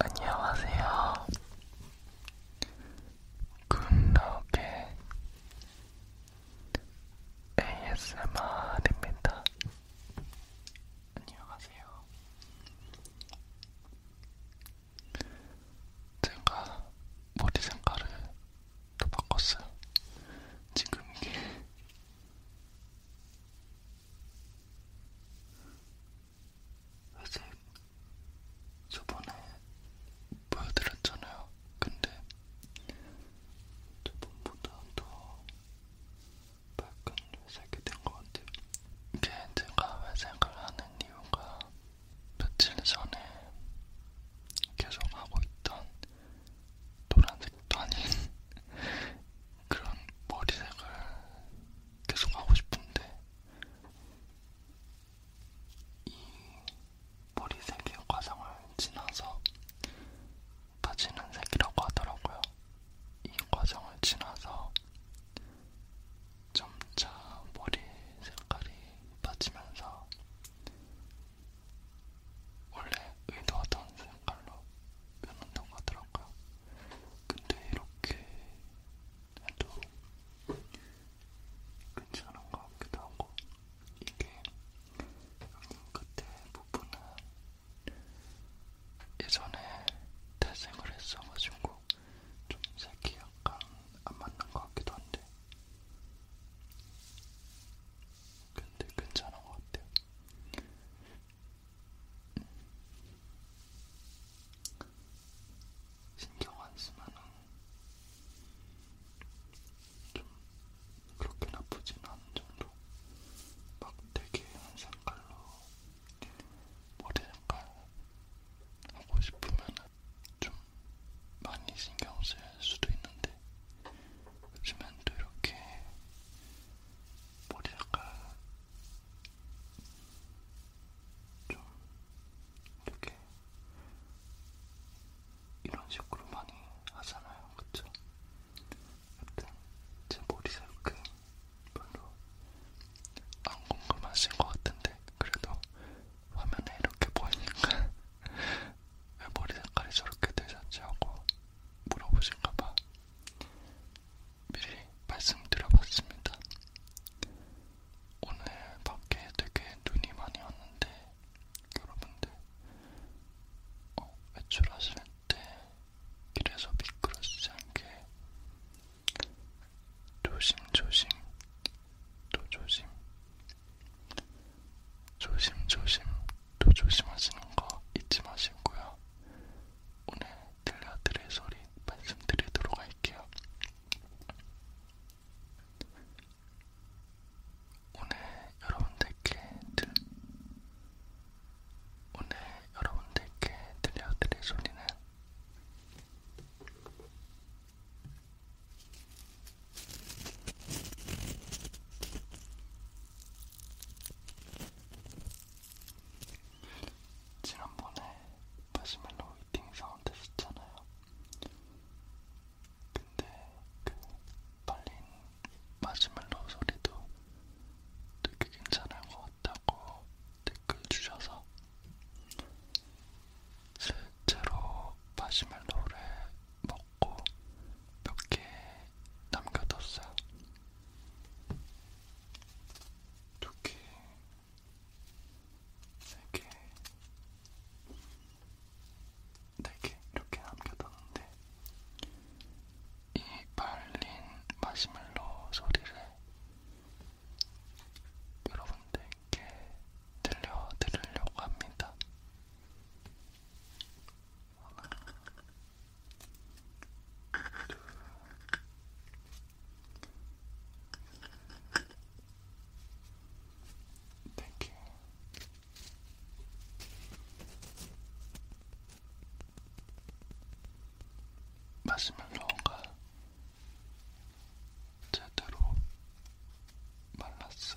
안녕하세요. 굿럭의 ASMR입니다. 안녕하세요. 제가 머리 색깔을 또 바꿨어요. 지금 이게 아직 저번에 보여드렸잖아요. 근데 저번보다 더 밝은 회색이 된 것 같아요. 이게 제가 회색을 하는 이유가 며칠 전에 계속 하고 있던 노란색도 아닌 그런 머리색을 계속 하고 싶은데 이 머리색이 과상을 지나서 빠지는 색이라고 하더라고요. 이 과정을 지나서 점차 머리 색깔이 빠지면서 원래 의도하던 색깔로 변한다고 하더라고요. 근데 이렇게 해도 괜찮은 것 같기도 하고 이게 끝에 부분은 예전에 태생을 했어가지고 좀 색이 약간 안 맞는 것 같기도 한데 근데 괜찮은 것 같아요. 신경 안 쓰면은 좀 그렇게 나쁘진 않은 정도. 막 되게 한 색깔로 머리 색깔 하고 싶으면은 좀 많이 신경 쓸 수도 있는데 요즘엔 또 이렇게 머리가 좀 이렇게 이런 식으로 많이 하잖아요, 그쵸? 하여튼 제 머리 색은 별로 안 궁금하신 것 같은데 그래도 화면에 이렇게 보이니까 왜 머리 색깔이 저렇게 되셨지 하고 물어보실까봐 미리 말씀드려봤습니다. 오늘 밖에 되게 눈이 많이 왔는데 여러분들 어, 외출하실 때 길에서 미끄러지지 않게 조심조심 또 조심 조심조심 또 조심하시는 거 잊지 마시고요. 오늘 들려드릴 소리 말씀드리도록 할게요. 오늘 여러분들께 들 오늘 여러분들께 들려드릴 소리는 지난번에 마시멜로 위팅 사운드 했었잖아요. 근데 그 발린 마시멜로 소리도 되게 괜찮은 것 같다고 댓글 주셔서 실제로 마시멜로를 먹고 몇개 남겨뒀어요. 두 개, 세 개, 네개 이렇게 남겨뒀는데 이 발린 마시멜로 소리를 여러분들께 들려드리려고 합니다. 땡큐 마시면서 뭔가 제대로 말랐어.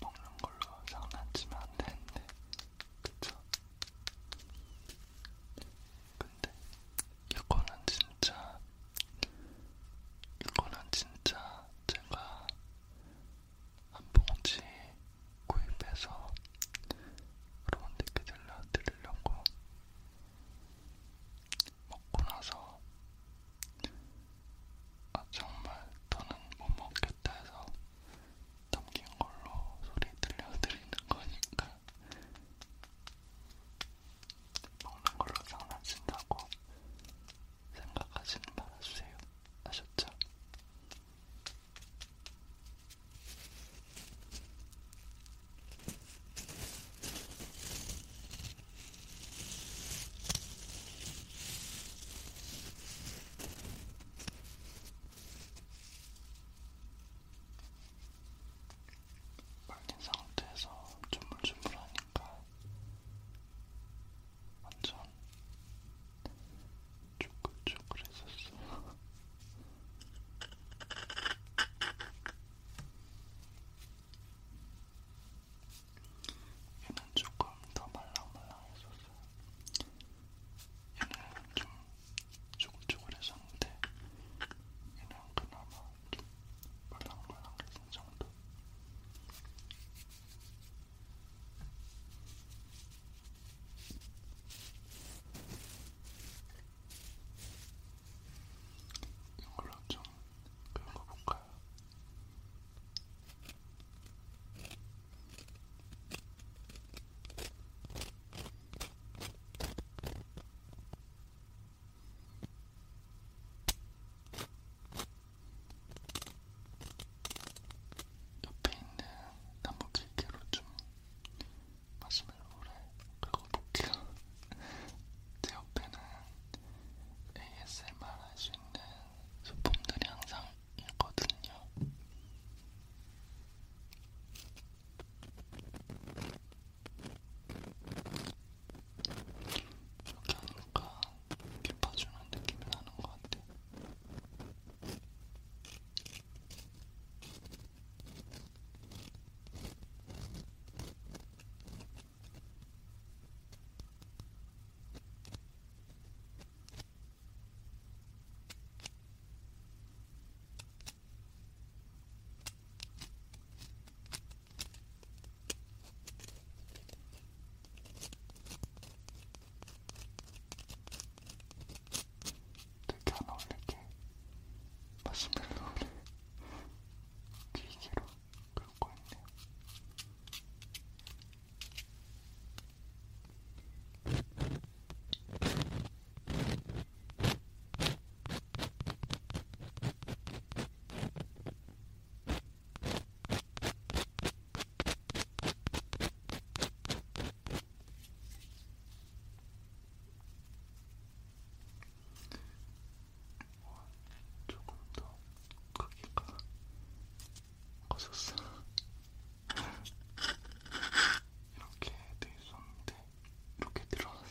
먹는 걸로 장난치면 안 되는데, 그쵸? 근데 이거는 진짜 이거는 진짜 제가 한 봉지 구입해서 여러분들께 들려드리려고 먹고 나서 아 정말 더는 못 먹겠다 해서 담긴 걸로 소리 들려드리는 거니까 먹는 걸로 장난친다고 생각하시는 말아주세요. 아셨죠? 말린 상태에서 주물주물하니까 완전 쪼글쪼글했었어. 얘는 조금 더 말랑말랑했었어요. 얘는 좀 쪼글쪼글했었는데 얘는 그나마 좀 바닥만 한개쓴 정도. 이걸로 좀 긁어볼까요? 이렇게 옆에 있는 나무 길게로 좀 마시멜로를 긁어볼게요. 제 옆에는 ASMR 할 수 있는 소품들이 항상 있거든요. 이렇게 하니까 깊어주는 느낌이 나는 것 같아. 되게 안 어울리게 마시멜로를 기계로 긁고 있네요. 어, 조금 더 크기가 커졌어. 이렇게 돼 있었는데 이렇게 들어왔어요.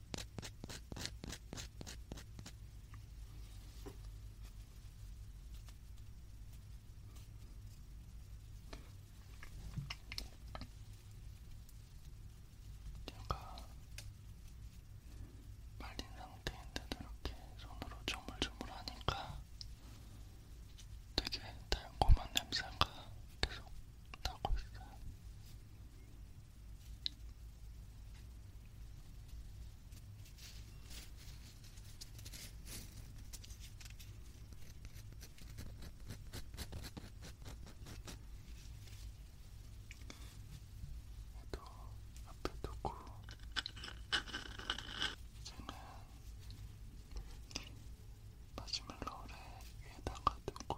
제가 말린 상태인데도 이렇게 손으로 조물조물 하니까 되게 달콤한 냄새가 계속 나고 있어요. 얘도 앞에 두고 이제는 마시멜로를 위에다가 두고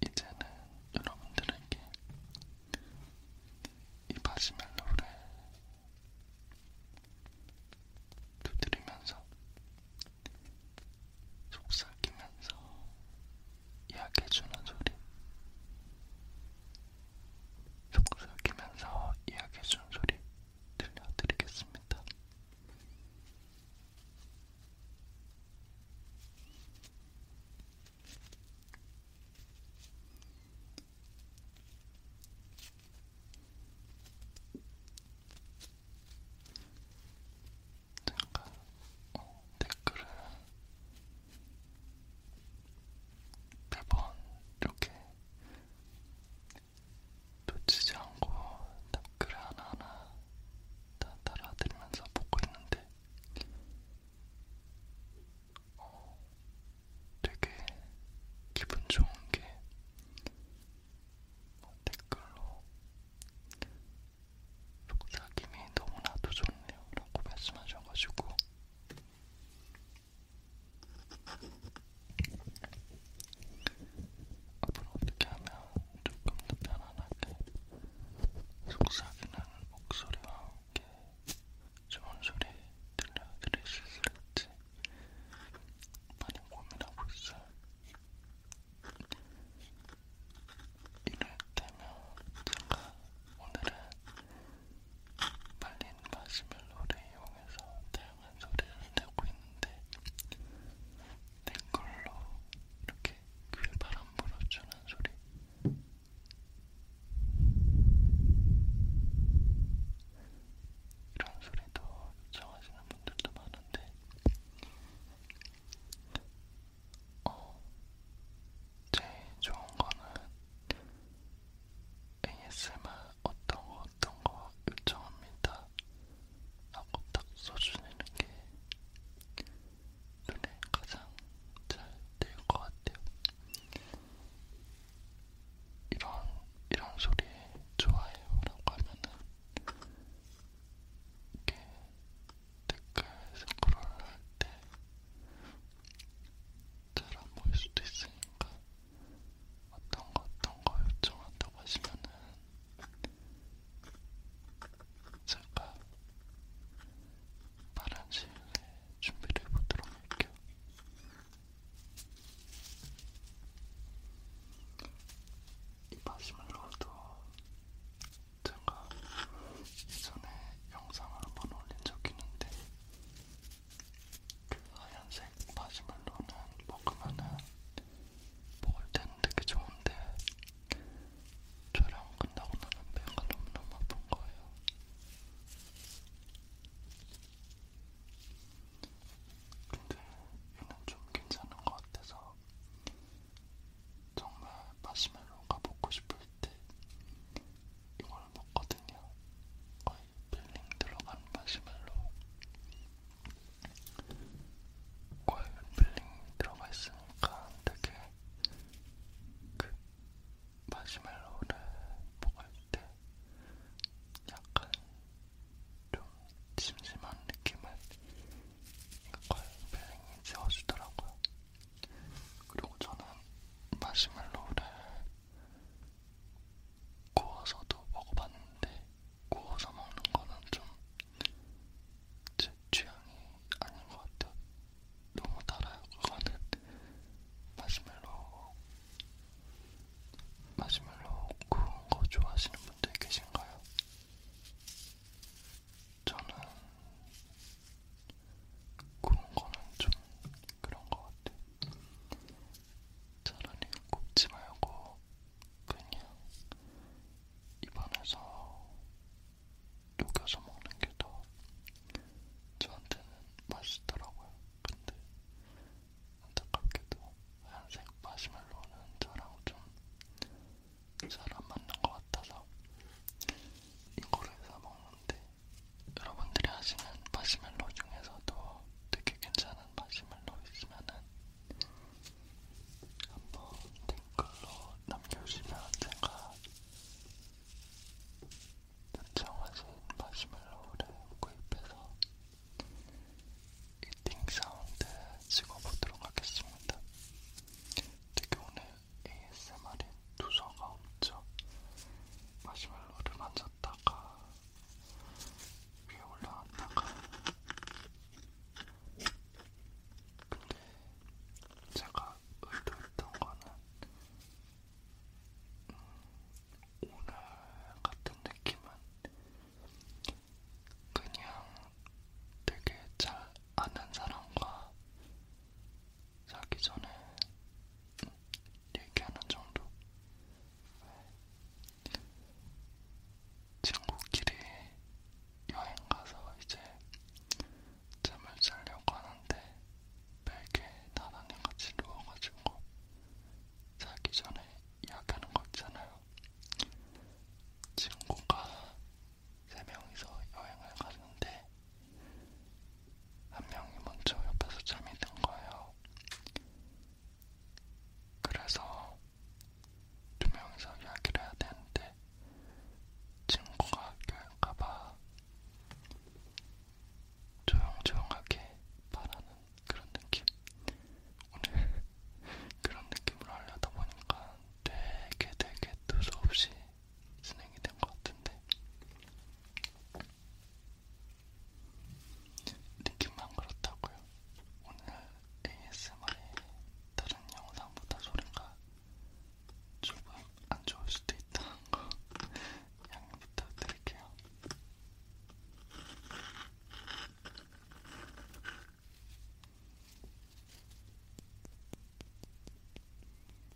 이제는 여러분들에게 이 마시멜로를 두드리면서 속삭이면서 이야기해주는 소리 속삭이면서 이야기해주는 소리 들려드리겠습니다. 잠깐 어, 댓글을 몇번 이렇게 놓치지 않고 댓글을 하나하나 다 따라드리면서 보고 있는데 어, 되게 기분 좋은 게뭐 댓글로 속삭임이 너무나도 좋네요 라고 말씀하셔가지고 앞으로 어떻게 하면 조금 더 편안하게 속삭이는 목소리와 함께 좋은 소리 들려드릴 수 있을지 많이 고민하고 있어요. 이를테면 제가 오늘은 말린 마시멜로를 이용해서 다양한 소리를 내고 있는데 땡걸로 이렇게 귀에 바람 불어주는 소리 이런 소리도 요청하시는 분들도 많은데 어, 제일 좋은 거는 ASMR 어떤 거 어떤 거 요청합니다 하고 딱 써주는 게 눈에 가장 잘될 것 같아요. 이런 이런 소리 좋아해요라고 하면은 이렇게 댓글 스크롤을 할 때 잘안 보일 수도 있으니까 어떤 거 어떤 거 요청한다고 하시면은 제가 빠른 시일에 준비를 해보도록 할게요. 이 마시멜로도 제가 예전에 영상을 한번 올린 적이 있는데 그 하얀색 마시멜로는 먹으면은 먹을 때는 되게 좋은데 촬영 끝나고 나면 배가 너무너무 아픈 거예요. 근데 얘는 좀 괜찮은 것 같아서 정말 마시멜로가 먹고 싶을 때 이걸 먹거든요. 거의 필링 들어간 마시멜로. 거의 필링 들어가 있으니까 되게 그 마시멜로를 먹을 때 약간 좀 심심한 느낌을 그걸 필링이 지워주더라고요. 그리고 저는 마시멜로를 구워서도 먹어봤는데 구워서 먹는 거는 좀 제 취향이 아닌 것 같아요. 너무 달아요. 그거는 마시멜로 마시멜로 구운 거 좋아하시는 분들 계신가요? 저는 구운 거는 좀 그런 것 같아요. 차라리 굽지 말고 그냥 입안에서 녹여서 먹는 게 더 저한테는 맛있더라고요. 근데 안타깝게도 하얀색 마시멜로는 저랑 좀 사람 맞는 것 같아서 이거를 사먹는데 여러분들이 하시는 마시멜로 중에서도 되게 괜찮은 마시멜로 있으면은 한번 댓글로 남겨주시면 제가 요청하신 마시멜로를 구입해서 이팅 사운드 찍어보도록 하겠습니다. 되게 오늘 ASMR에 두서가 없죠. 마시멜로를 만졌다가 위에 올라왔다가 근데 제가 의도했던 거는 음, 오늘 같은 느낌은 그냥 되게 잘 아는 사람과 자기 전에 얘기하는 정도. 친구끼리 여행 가서 이제 잠을 자려고 하는데 베개 나란히 같이 누워가지고 자기 전에 이야기하는 거 있잖아요. 친구가 세 명이서 여행을 갔는데 한 명이 먼저 옆에서 잠이 든 거예요. 그래서 두 명이서 이야기를 해야 되는데 친구가 학교일까봐 조용조용하게 말하는 그런 느낌. 오늘 그런 느낌으로 하려다 보니까 되게 되게 두서없이 진행이 된 것 같은데 느낌만 그렇다고요. 오늘 ASMR의 다른 영상보다 소리가 조금 안 좋을 수도 있다는 거 양해 부탁드릴게요.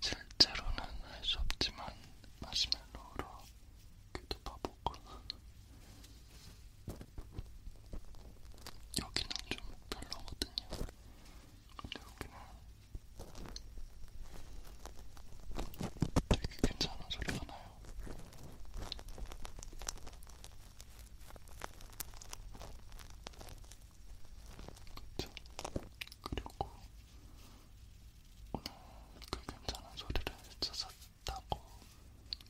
실제로는 할 수 없지만 마시멜로로 귀도 파보고 여기는 좀 별로거든요. 근데 여기는 되게 괜찮은 소리가 나요. 그쵸? 그리고 오늘 그 괜찮은 소리를 찾았다고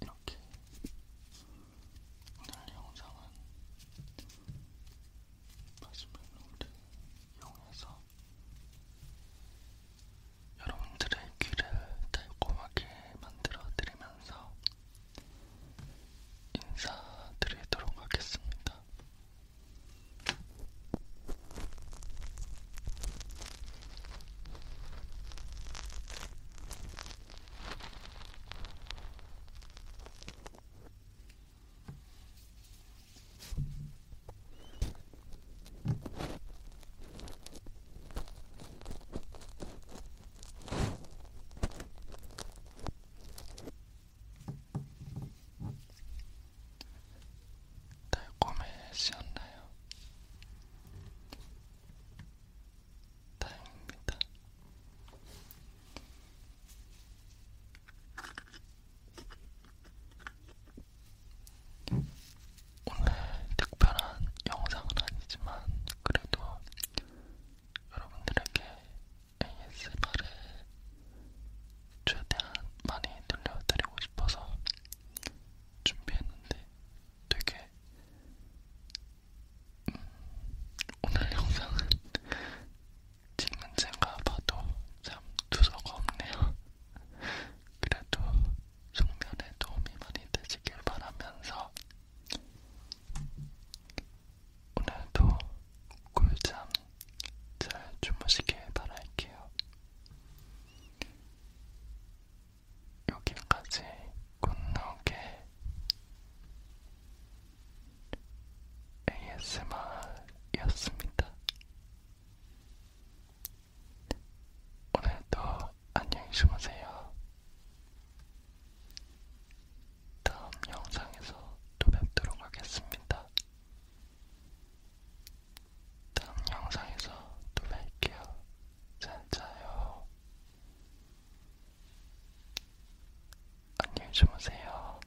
이렇게 이렇게 오늘 영상은 마지막 룰을 이용해서 여러분들의 귀를 달콤하게 만들어 드리면서 인사드리도록 하겠습니다. 달콤해지셨나요? 다행입니다. 오늘 특별한 영상은 아니지만 그래도 여러분들에게 ASMR을 최대한 많이 들려드리고 싶어서 준비했는데 되게 음, 오늘 영상은 질문제가 봐도 참 두서가 없네요. 그래도 숙면에 도움이 많이 되시길 바라면서 오늘도 꿀잠 잘 주무시길 바랄게요. 여기까지 굿노게 ASMR이었습니다. 오늘도 안녕히 주무세요. 다음 영상에서 또 뵙도록 하겠습니다. 다음 영상에서 또 뵐게요. 잘 자요. 안녕히 주무세요.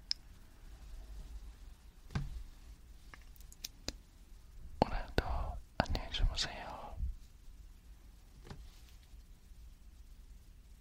오늘도 안녕히 주무세요.